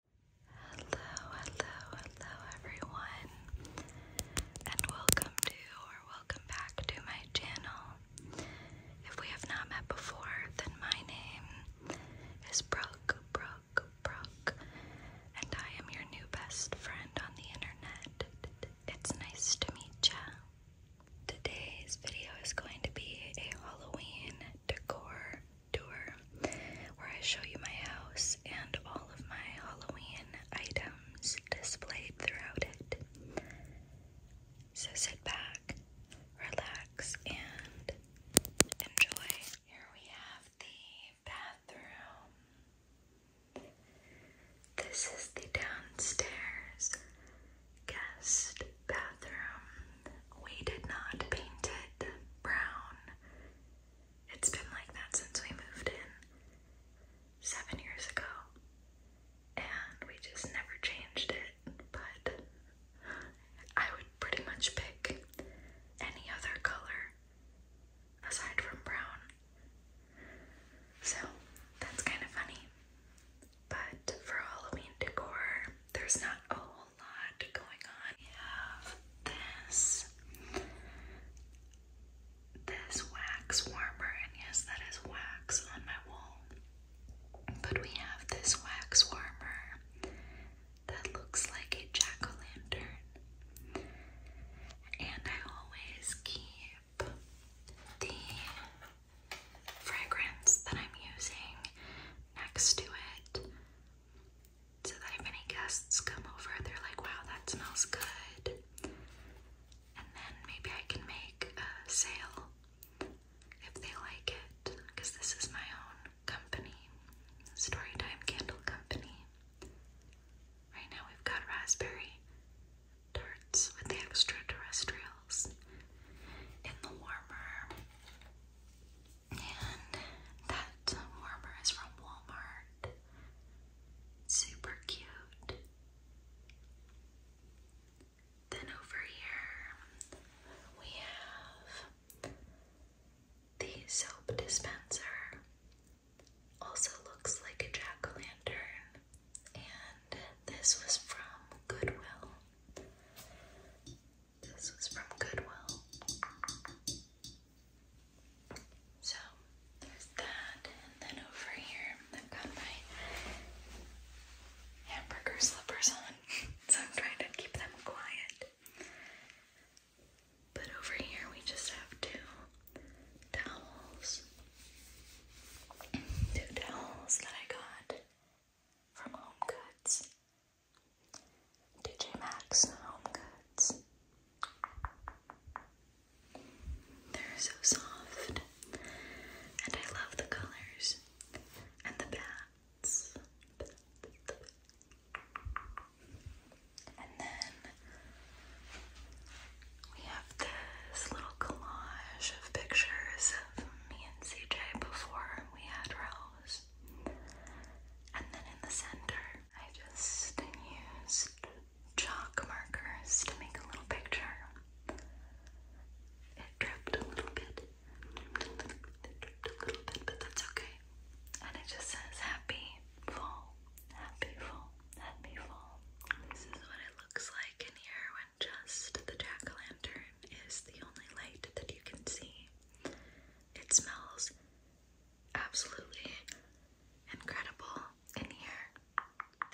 Hello, hello, hello everyone, and welcome to or welcome back to my channel. If we have not met before, then my name is Brooke, Brooke, Brooke, and I am your new best friend on the internet. It's nice to meet ya. Today's video is going to be a Halloween decor tour where I show you my house and all of my Halloween items displayed throughout it. So sit back, relax, and enjoy. Here we have the bathroom. This is the downstairs guest bathroom. We did not paint it brown. It's been like that since we moved in seven years ago. And we just never changed it. But I would pretty much pick any other color aside from brown. So that's kind of funny. But for Halloween decor, there's not a whole lot going on. We have this this wax warmer, and yes, that is wax on my wall. But we have this wax warmer that looks like a jack-o'-lantern. And I always keep the fragrance that I'm using next to it so that if any guests come over, they're like, wow, that smells good. And then maybe I can make a sale if they like it because this is my own company, Storytime Candle Company. Right now we've got raspberry tarts with the extraterrestrials in the warmer. And that warmer is from Walmart. Super cute. Then over here we have the soap dispenser. Also looks like a jack-o'-lantern. And this was from Goodwill. This was from Goodwill. So there's that, and then over here I've got my hamburger slippers on, so I'm trying to keep them quiet. But over here we just have two towels. Two towels that I got from Home Goods. DJ Max, Home Goods. They're so soft. And I love the colors. And the bats. And then we have this little collage of pictures of me CJ before we had Rose. And then in the center, I just used chalk markers to make a little picture. It dripped a little bit. a little bit, but that's okay. And it just says happy fall, happy fall, happy fall. This is what it looks like in here when just the jack-o'-lantern is the only light that you can see. It smells absolutely incredible in here.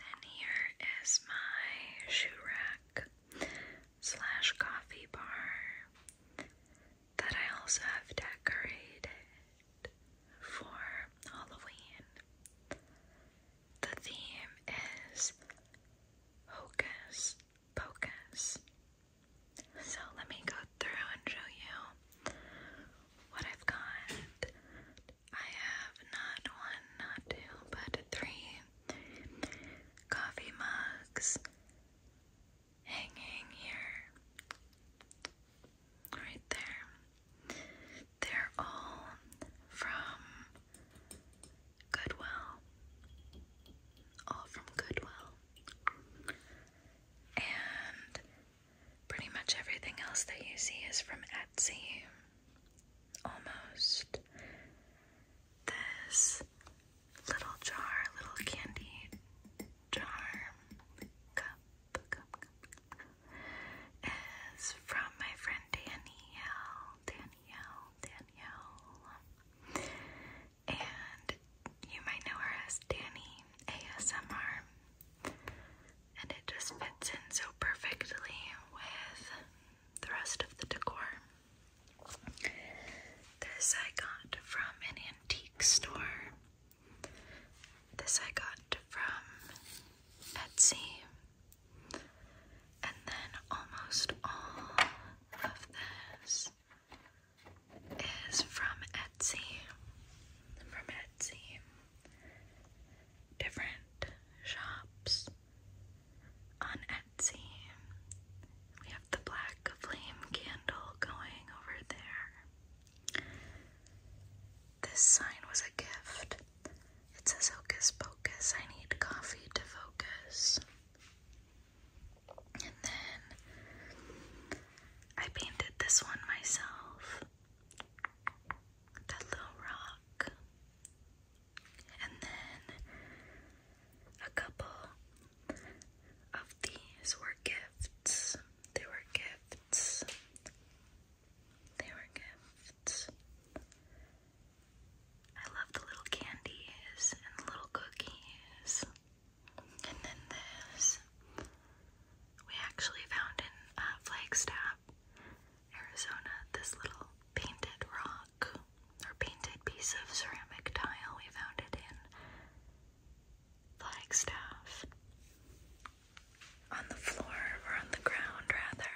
Then here is my shoe rack slash coffee bar that I also have decorated for Halloween. The theme is hocus pocus. So let me go through and show you what I've got. I have not one, not two, but three coffee mugs hanging here, right there they're all from Goodwill. All from Goodwill. And pretty much everything else that you see is from Etsy. Almost. This little jar, little candy jar, cup, cup, cup, is from my friend Danielle. Danielle, Danielle. And you might know her as Danny ASMR. And it just fits in so perfectly with the rest of the decor. This I got from an antique store. This I got from Etsy. And then almost all of this is from Etsy. From Etsy. Different shops on Etsy. We have the black flame candle going over there. This sign was a gift. It says Hocus Pocus, I need coffee to focus. And then I painted this one myself. That little rock. And then a couple of these were gifts. They were gifts. They were gifts. I love the little candies and the little cookies. And then this we actually found in uh, Flagstaff, Arizona, this little painted rock or painted piece of ceramic tile. We found it in Flagstaff on the floor or on the ground rather.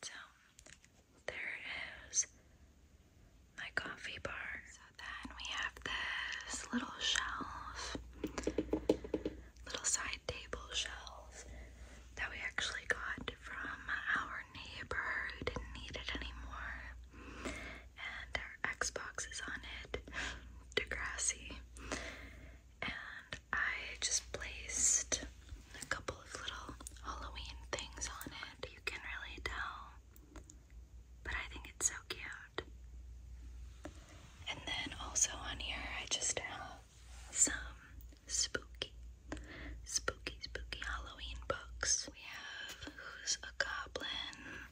So there is my coffee bar. So then we have this little shelf, little side table shelf that we actually got from our neighbor who didn't need it anymore. And our Xbox is on it, Degrassi and I just placed a couple of little Halloween things on it. You can really tell, but I think it's so cute. And then also on here, I just have some spooky, spooky, spooky Halloween books. We have Who's a Goblin?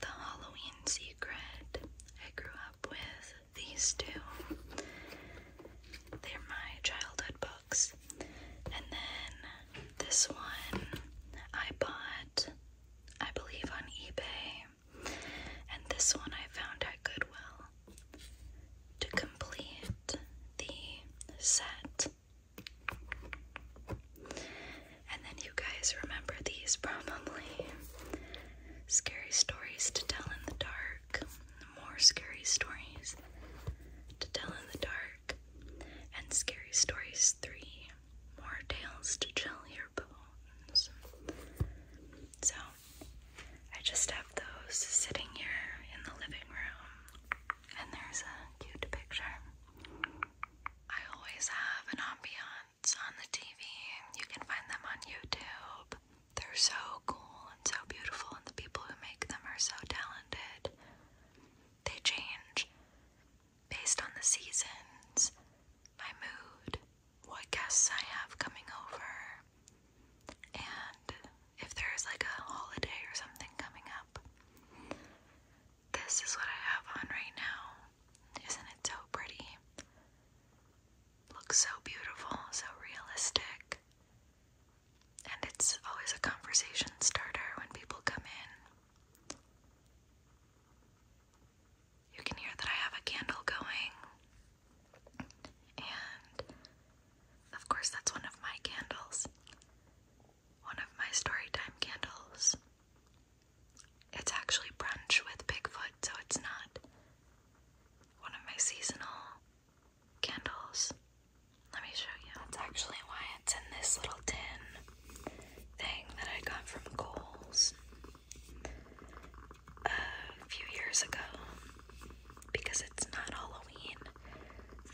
The Halloween Secret I Grew Up With these two. They're my childhood books. And then this one I bought, I believe, on eBay. And this one I found at Goodwill to complete the set. And then you guys remember these probably. Scary stories to tell in the dark. More scary stories to tell in the dark. And Scary Stories 3. More tales to chill your bones. So, I just have those sitting here in the living room. And there's a cute picture. I always have an ambiance events on the TV. You can find them on YouTube. They're so cool and so beautiful, and the people who make them are so talented. They change based on the seasons, my mood, what guests I have coming over, and if there's like a holiday or something coming up. This is what I have on right now. Isn't it so pretty? looks so beautiful, so realistic. And it's always a conversation starter when people come in. You can hear that I have a candle going. And of course, that's one of my candles. One of my storytime candles. It's actually brunch with Bigfoot, so it's not one of my seasonal candles. Let me show you. That's actually why it's in this little tin thing that I got from Kohl's a few years ago because it's not Halloween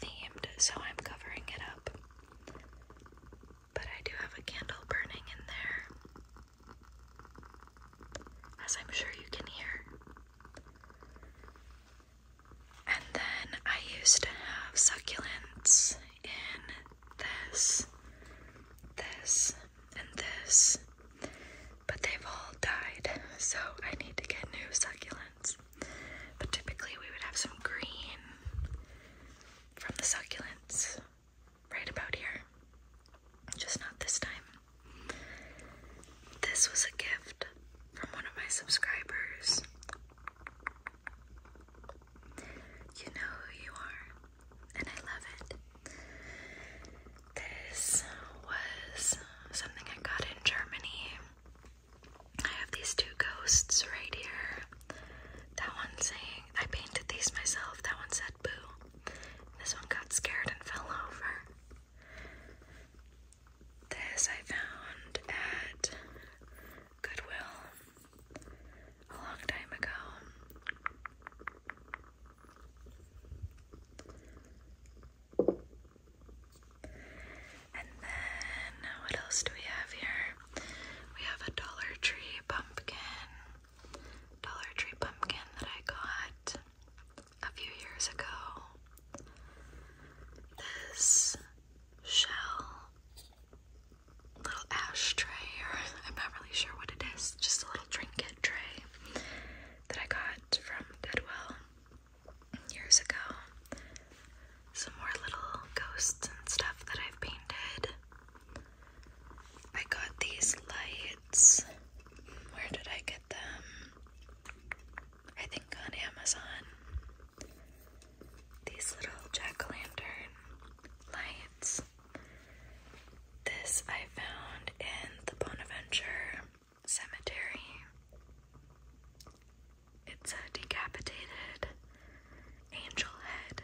themed, so I'm covering it up but I do have a candle burning in there, as I'm sure you can hear. And then I used to have succulents in this, this, and this, but they've all died, so I need to get new succulents. But typically, we would have some green from the succulents right about here. Just not this time. This was a gift from one of my subscribers. You know who you are, and I love it. This was something I got in Germany. I have these two ghosts right here. That one saying, I painted these myself. That one said boo. This one got scared and fell over. This I found at Goodwill a long time ago. And then, what else do we have here? We have a Dollar Tree pumpkin. Dollar Tree pumpkin that I got a few years ago. This shell little ashtray, I'm not really sure what it is, just a little trinket tray that I got from Goodwill years ago some more little ghosts and stuff that I've painted. I got these lights. Where did I get them? I think on Amazon. These little jack o' lantern lights. This I found in the Bonaventure Cemetery. It's a decapitated angel head,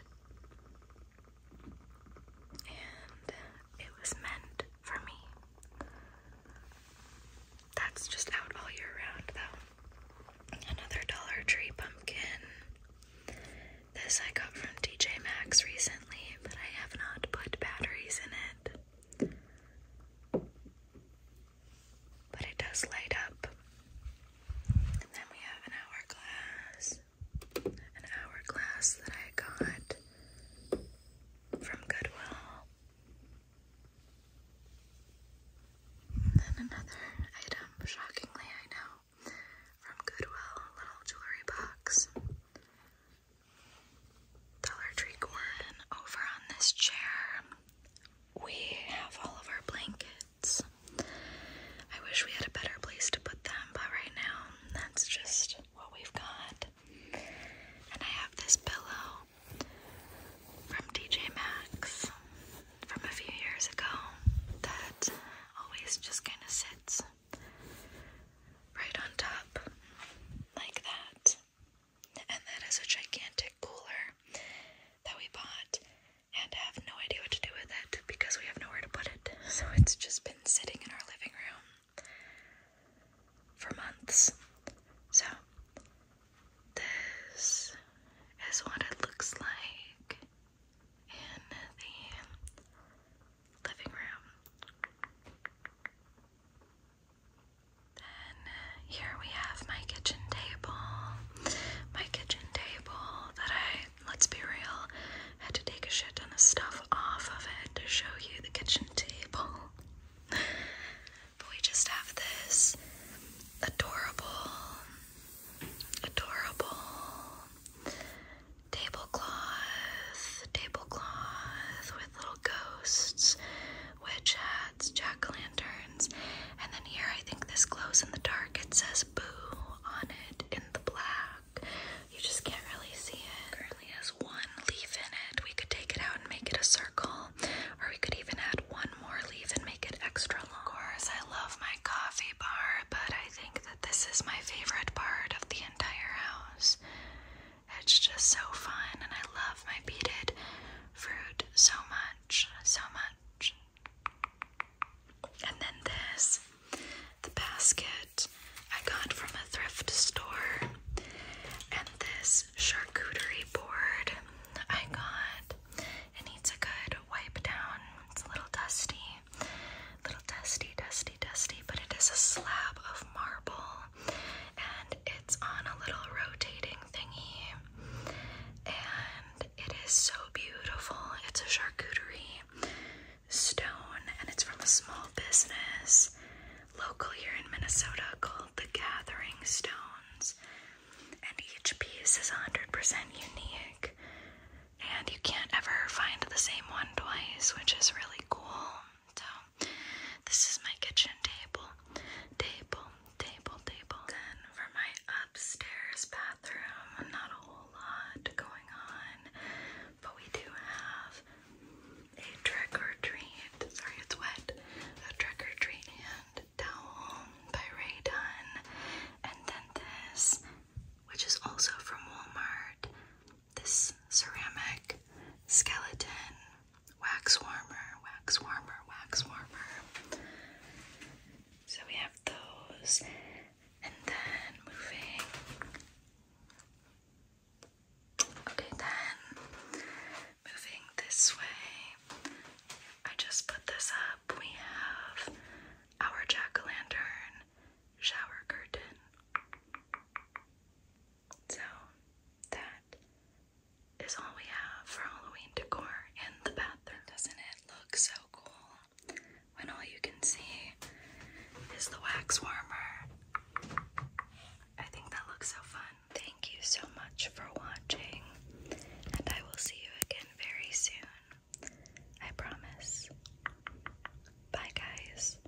and it was meant for me. That's just out all year round, though. Another Dollar Tree pumpkin. This I got from TJ Maxx recently, but I have not put batteries in it but it does light up. And then we have an hourglass, an hourglass that I got from Goodwill. then another item, shockingly, I know, from Goodwill, a little jewelry box. Dollar Tree Gordon over on this chair we have all of our blankets. I wish we had a better place to put them, but right now that's just what we've got. And I have this pillow from DJ Maxx from a few years ago that always just kind of sits right on top like that and that is a gigantic cooler that we bought and have no idea what to do with it because we have nowhere to put it. So it's just been sitting in our living room for months. So this is what it looks like in the living room. Then here we have my kitchen table. My kitchen table that I, let's be real, had to take a shit and of stuff off of it to show you the kitchen table. but we just have this adorable, adorable tablecloth, tablecloth with little ghosts, which it's jack o' lanterns, and then here I think this glows in the dark. It says boo on it in the black. You just can't really see it. Currently has one leaf in it. We could take it out and make it a circle, or we could even add one more leaf and make it extra long. Of course, I love my coffee bar, but I think that this is my favorite part of the entire house. It's just so fun, and I love my beaded fruit so much, so much. And then this, the basket I got from a thrift store, and this charcuterie board I got. It needs a good wipe down. It's a little dusty, little dusty, dusty, dusty, but it is a slab of marble and it's on a little rotating thingy, and it is so beautiful. It's a charcuterie stone, and it's from a small business local here in Minnesota called The Gathering Stones, and each piece is 100% unique. And you can't ever find the same one twice, which is really cool. So this is my kitchen table, table, table, table. Then for my upstairs bathroom, not a whole lot going on, but we do have a trick or treat. Sorry, it's wet. A trick or treat hand towel by Ray and then this, which is also from Walmart. This ceramic skeleton wax warmer, wax warmer, wax warmer. So we have those, and then moving. Okay, then moving this way, I just put this up. We have our jack o' lantern shower curtain. So that is all we have for Halloween decor in the bathroom. Doesn't it look so cool when all you can see is the wax warmer? I think that looks so fun. Thank you so much for watching, and I will see you again very soon. I promise. Bye, guys.